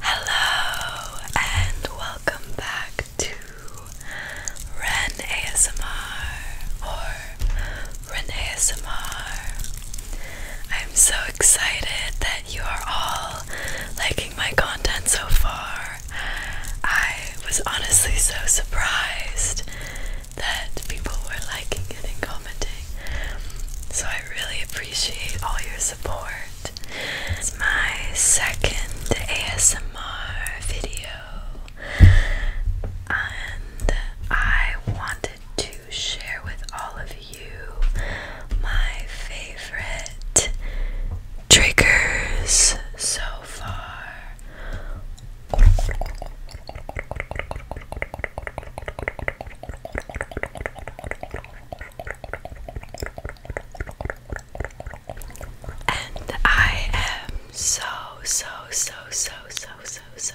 Hello and welcome back to Ren ASMR or Renee ASMR. I'm so excited that you are all liking my content so far. I was honestly so surprised that people were liking it and commenting. So I really appreciate all your support. It's my second ASMR video and I wanted to share with all of you my favorite triggers so far. And I am so, so, so, so, so, so,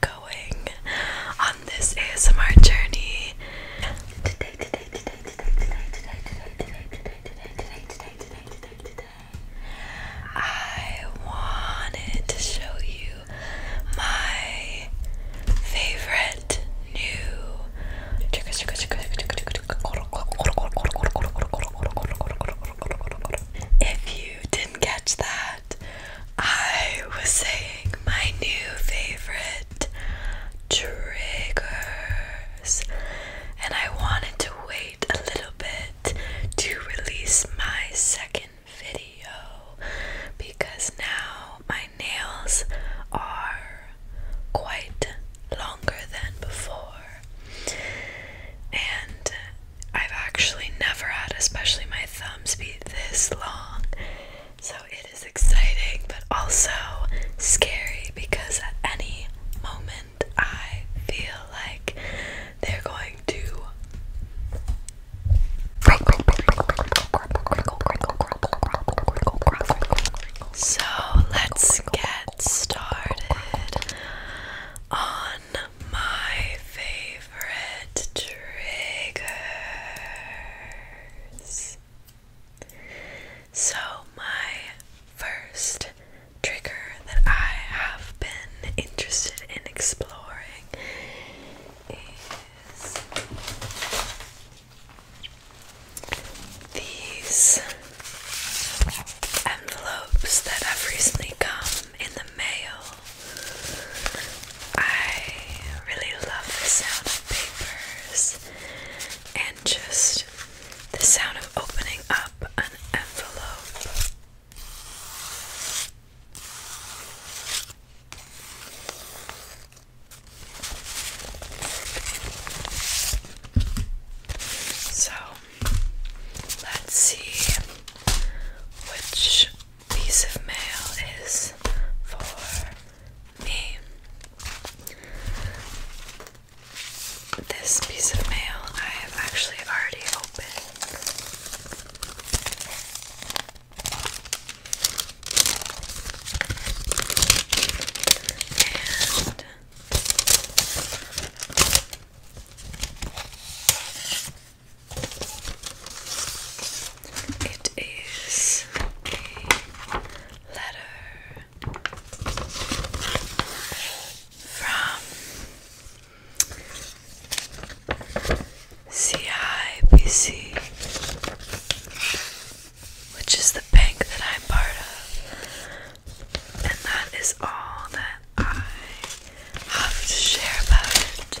going on this ASMR journey. Today, today, today, today, today, today, today, today, today, today, today, today, today, today, today. I wanted to show you my favorite new if you didn't catch that, I was saying my new favorite triggers, and I wanted to wait a little bit to release my second video because now my nails are quite longer than before. And I've actually never had, especially my thumbs, be this long. So it is exciting, but also scary because at any moment I feel like they're going to so let's get started on my favorite favorite triggers. So, my first trigger that I have been interested in exploring is these envelopes that have recently come in the mail. I really love the sound of papers and just the sound of opening up an envelope. So let's see which this piece of mail is for me. This piece of mail I have actually already opened. And it is a letter from CIBC, which is the bank that I'm part of, and that is all that I have to share about it.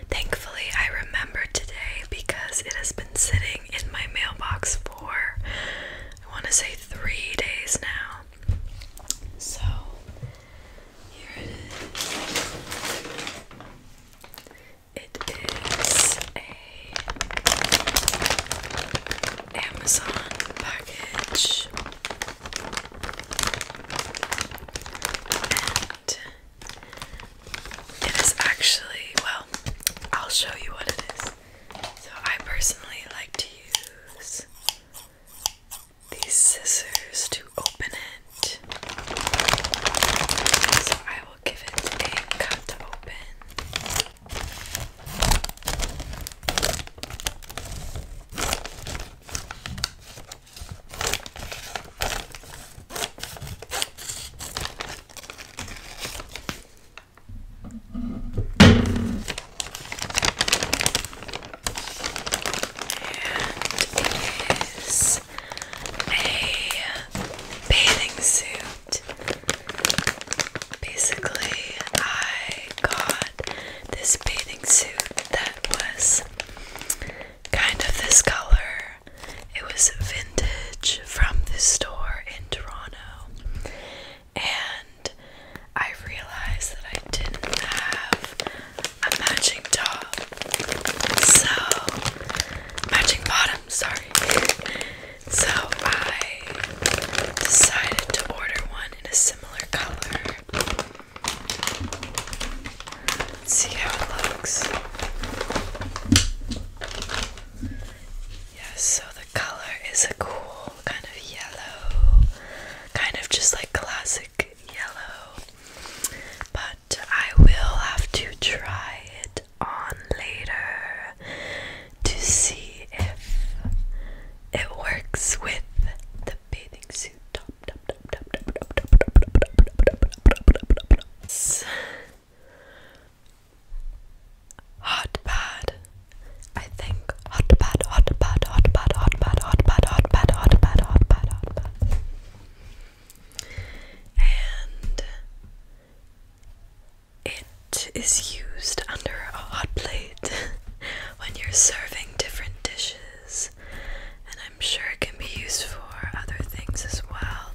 Thankfully, I remembered today because it has been sitting in my mailbox for I want to say three days now. So here it is. It is a Amazon package it is actually, well, I'll show you what it is. So, I personally like to use these scissors to open it. So, I will give it a cut to open it is a bathing suit. Basically, I got this bathing suit that was kind of this color it was vintage from this store in Toronto. And I realized that I didn't have a matching top. So, matching bottom, sorry. So, I decided to order one in a similar color. Let's see how it looks. Yes, so the color is a cool kind of yellow, kind of just like classic yellow. But I will have to try it on later to see if it works with the bathing suit top. Hot pad. I think hot pad, hot pad, hot pad, hot pad, hot pad, hot pad, hot pad, hot pad, hot pad. And it is used under a hot plate when you're serving different dishes. And I'm sure it can be used for other things as well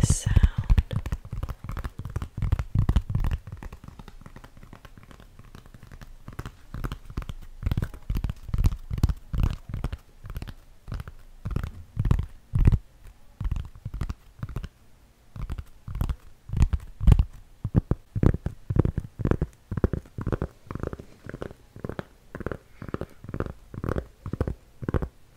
the sound.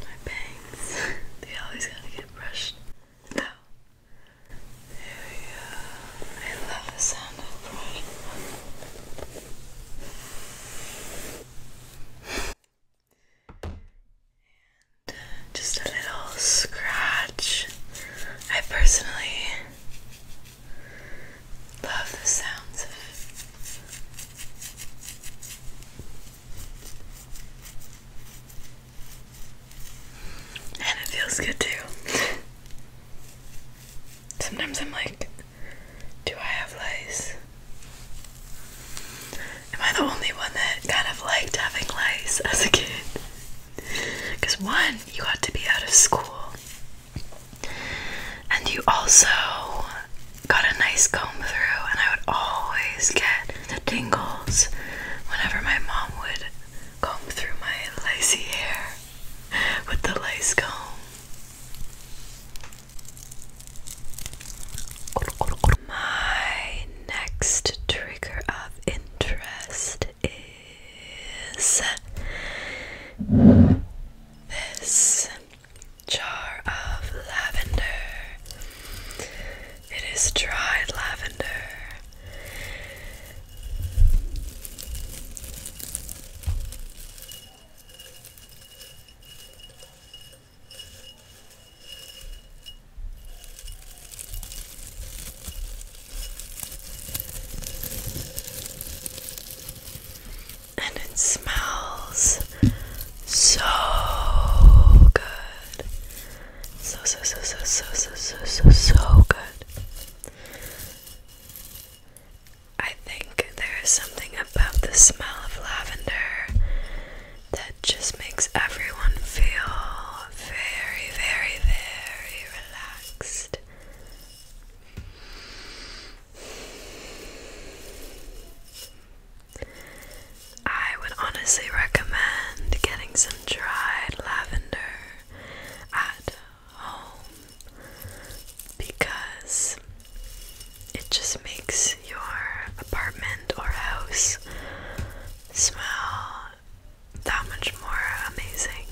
My bangs, they always gotta get brushed out. There we go. I love the sound of brushing uh, just a little scratch. I personally Love the sounds And it feels good too. Sometimes I'm like, do I have lice? Am I the only one that kind of liked having lice as a kid? Because, one, you got to be out of school, and you also got a nice comb through, and I would always get the tingles whenever my mom would comb through my lacy hair with the lace comb. My next trigger of interest is is this jar of lavender. It is dried lavender. And it smells so good. So, so, so, so, so, so, so, so, good. I think there is something about the smell of lavender that just makes everyone feel very, very, very relaxed. I would honestly recommend getting some dried lavender at home because it just makes your apartment or house smell that much more amazing.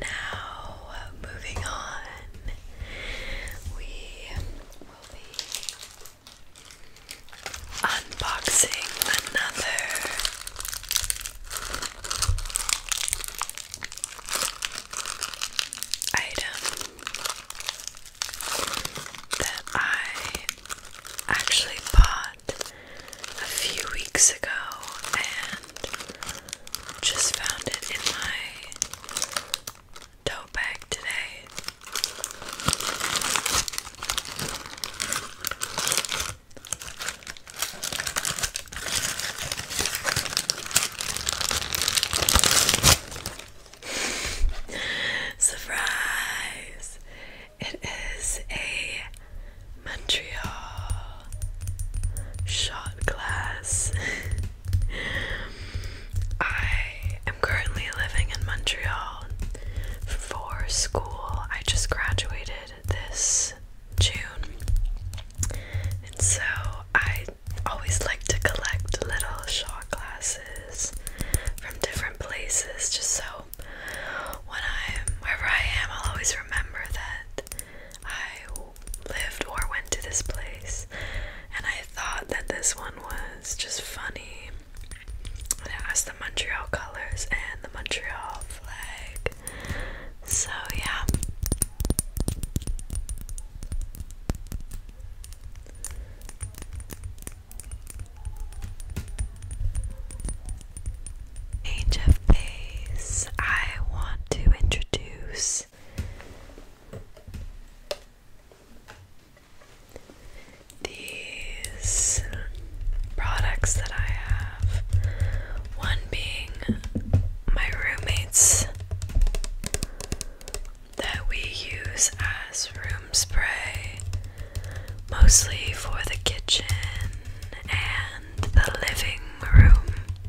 Now, moving on, we will be unboxing another item that I actually bought a few weeks ago and just found it in my tote bag today. Surprise! It is a Montreal shot glass. I am currently living in Montreal for school. I just graduated this June, and so I always like to collect little shot glasses from different places just so when I'm wherever I am I'll always remember that I lived or went to this place, and I thought that this one was just funny. it has the Montreal colors and the Montreal flag. So, yeah change of pace, I want to introduce these products that I have. One being my roommates that we use as room spray, mostly for the kitchen and the living room.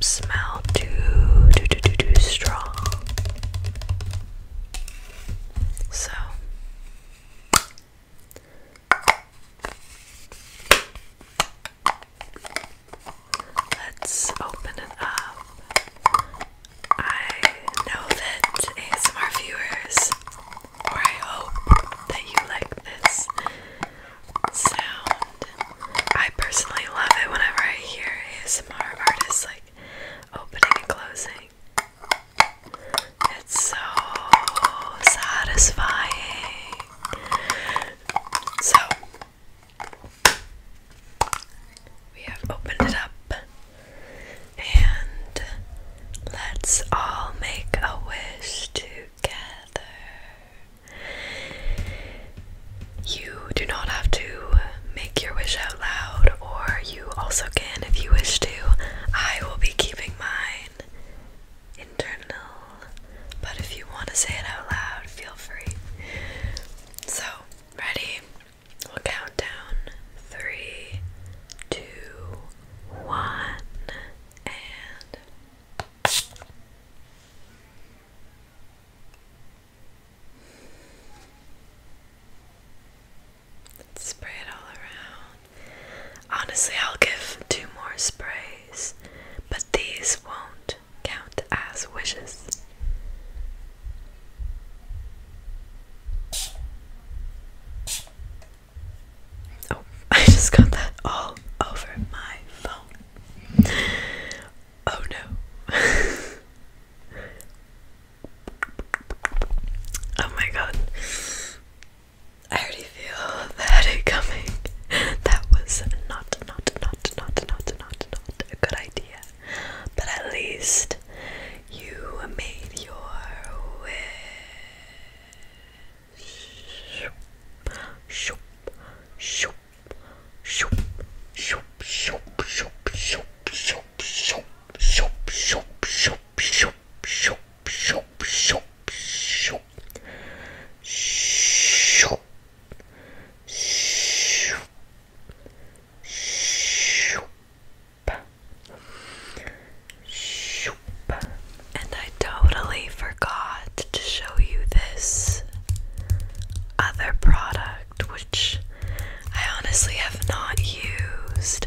smell too too too too, too strong. So let's open it up. I know that ASMR viewers, or I hope that you like this sound. I personally love it whenever I hear ASMR artists like opening and closing. It's so satisfying. So, we have opened it up and let's all make a wish together. You do not have to make your wish out loud, or you also can if you wish to. I will be keeping mine internal, but if you want to say it out loud, feel free. So, ready? We'll count down three, two, one, and. Spray it all around. Honestly, I'll give two more sprays, but these won't count as wishes. Oh, I just got that all over my phone. Oh no. oh my god. I already feel the coming. That was not, not, not, not, not, not, not a good idea. But at least you made your wish. Shoop, shoop, shoop, shoop, shoop, shoop, shoop, shoop, shoop, shoop, shoop, shoop, shoop, shoop, shoop, shoop, shoop, shoop, shoop, shoop, shoop, shoop. And I totally forgot to show you this other product which I honestly have not used.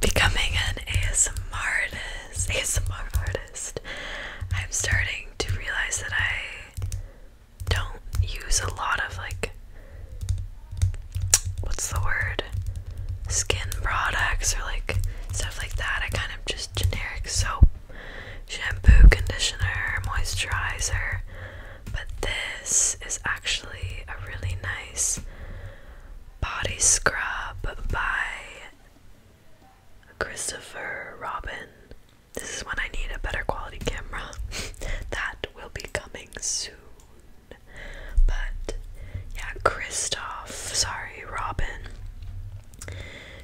Becoming an ASMR artist, ASMR artist, I'm starting to realize that I don't use a lot of like what's the word skin products or like stuff like that. I kind of just generic soap shampoo, conditioner, moisturizer, but this is actually a really nice body scrub by Christopher Robin. This is when I need a better quality camera. that will be coming soon. But yeah, Christoph. sorry, Robin.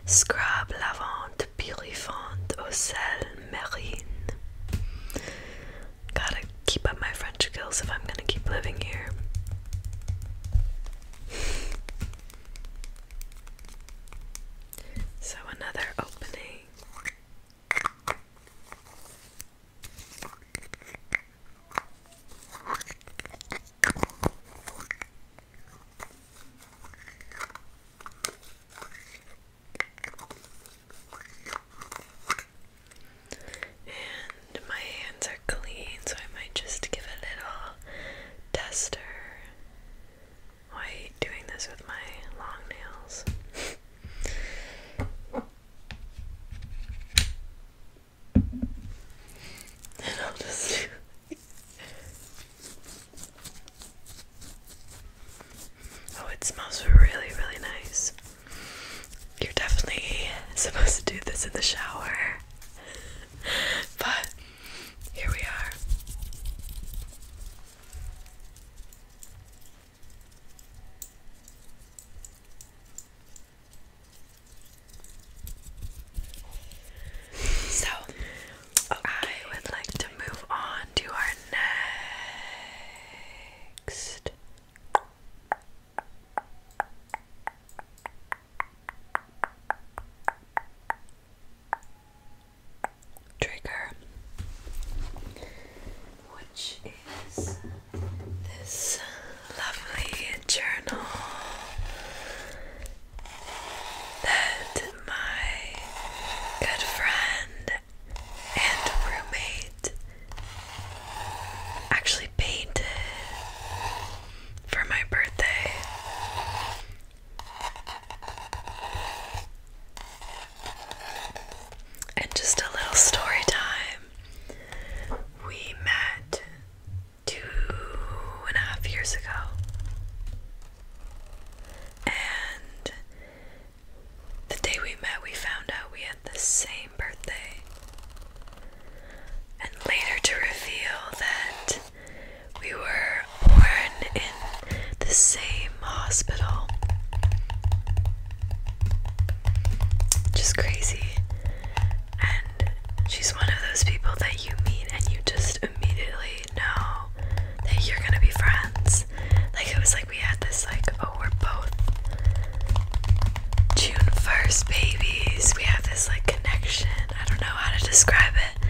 Scrub Lavant de purifante au sel marine. Gotta keep up my French skills if I'm gonna keep living here. So, another opening. And my hands are clean, so I might just give a little tester. Why are doing this with my long nails? and I'll just do Oh, it smells really, really nice. You're definitely supposed to do this in the shower. But here we are. So, I would like to move on to our next. Trigger, which is this lovely journal that my good friend and roommate actually painted for my birthday. And just a little story time. We met two and a half years ago. And the day we met, we found out we had the same birthday. And later to reveal that we were born in the same hospital. Just crazy. And she's one of those people that you meet and you just immediately know that you're gonna be friends. Like it was like we had this like oh we're both June 1st babies. We have this like connection. I don't know how to describe it,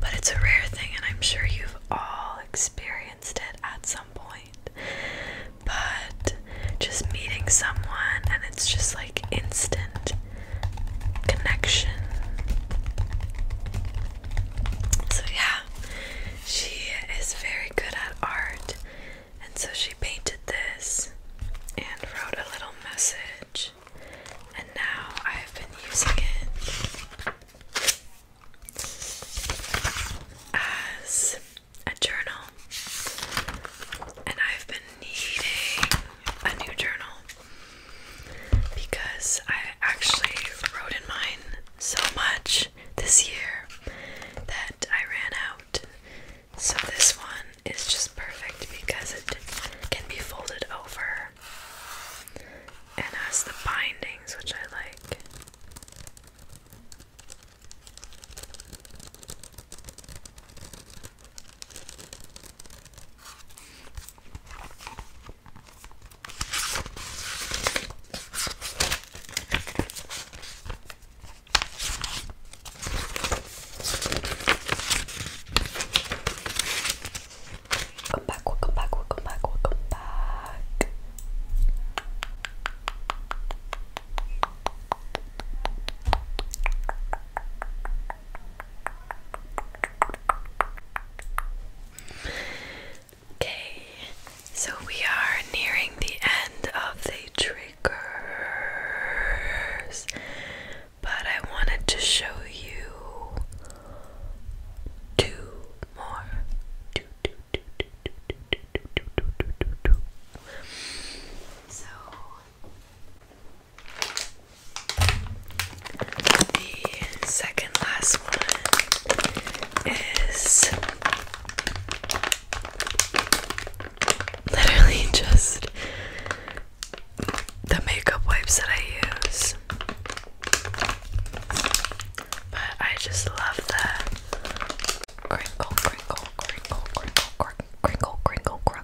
but it's a rare thing and I'm sure you've all experienced it at some point. But just meeting someone and it's just like instant connection. So, yeah, she is very good at art, and so she painted this and wrote a little message, and now I've been using it as a journal, and I've been needing a new journal because I actually wrote in mine so much this year that I ran out. So this one is just perfect because it can be folded over and has the bindings, which I like. Welcome back, welcome back, welcome back, welcome back. Okay, so we are nearing the end of the triggers, but I wanted to show you two more. So the second last one is literally just the makeup wipes that I use. But I just love the crinkle, crinkle, crinkle, crinkle, crinkle, crinkle, crinkle, crinkle,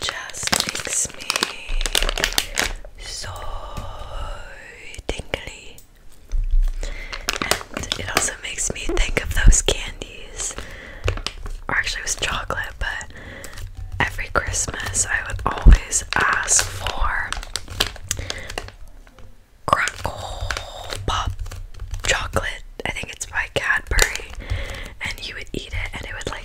just makes me so tingly. And it also makes me think of those candies. Or actually, it was chocolate, but every Christmas I would always ask for Crackle Pop chocolate. I think it's by Cadbury. And you would eat it, and it would like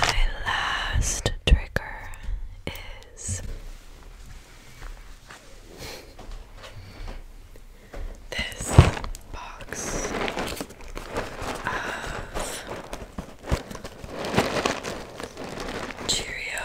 My last trigger is this box of Cheerio.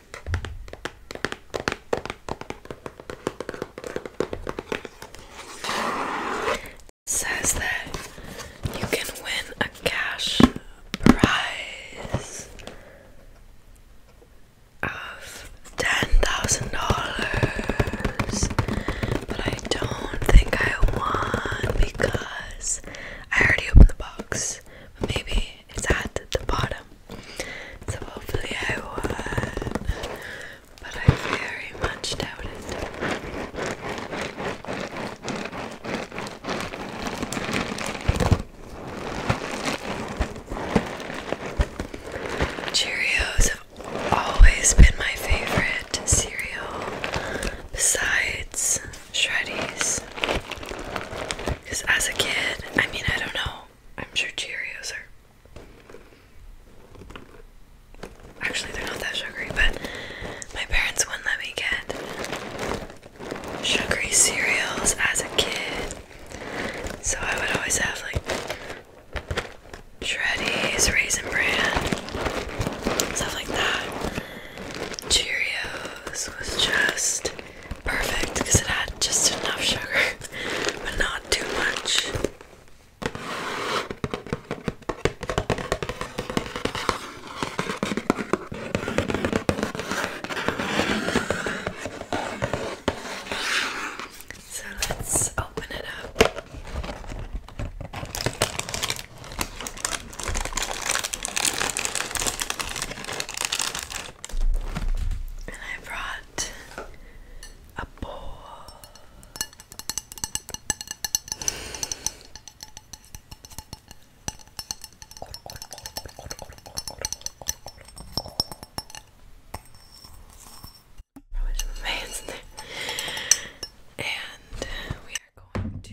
says that you can win a cash prize of ten thousand dollars, but I don't think I won because I already opened the box. maybe it's at the bottom. So hopefully I won, but I very much doubt it. Cheerios have always been my favorite cereal, besides Shreddies. Because as a kid, I mean, I don't know. I'm sure Cheerios are. Actually, they're not that sugary, but my parents wouldn't let me get sugary cereals as a kid. So I would always have like Shreddies, Raisin Bran, stuff like that. Cheerios was just perfect because it had just enough sugar, but not too much. So let's open it up. And I brought a bowl. Probably some And we are going to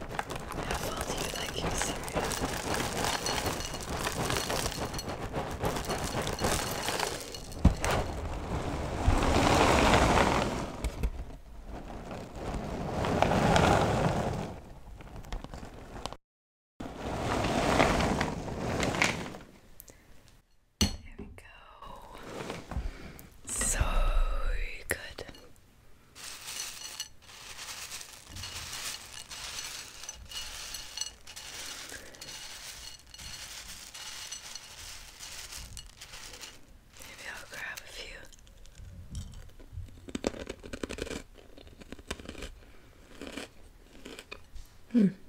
How well do you like your cereal? There we go. So good. Maybe I'll grab a few. Hmm.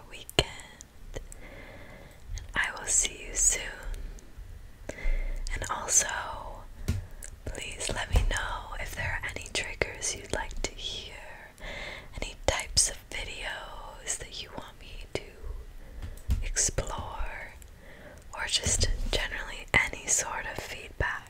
weekend, and I will see you soon. And also, please let me know if there are any triggers you'd like to hear, any types of videos that you want me to explore, or just generally any sort of feedback.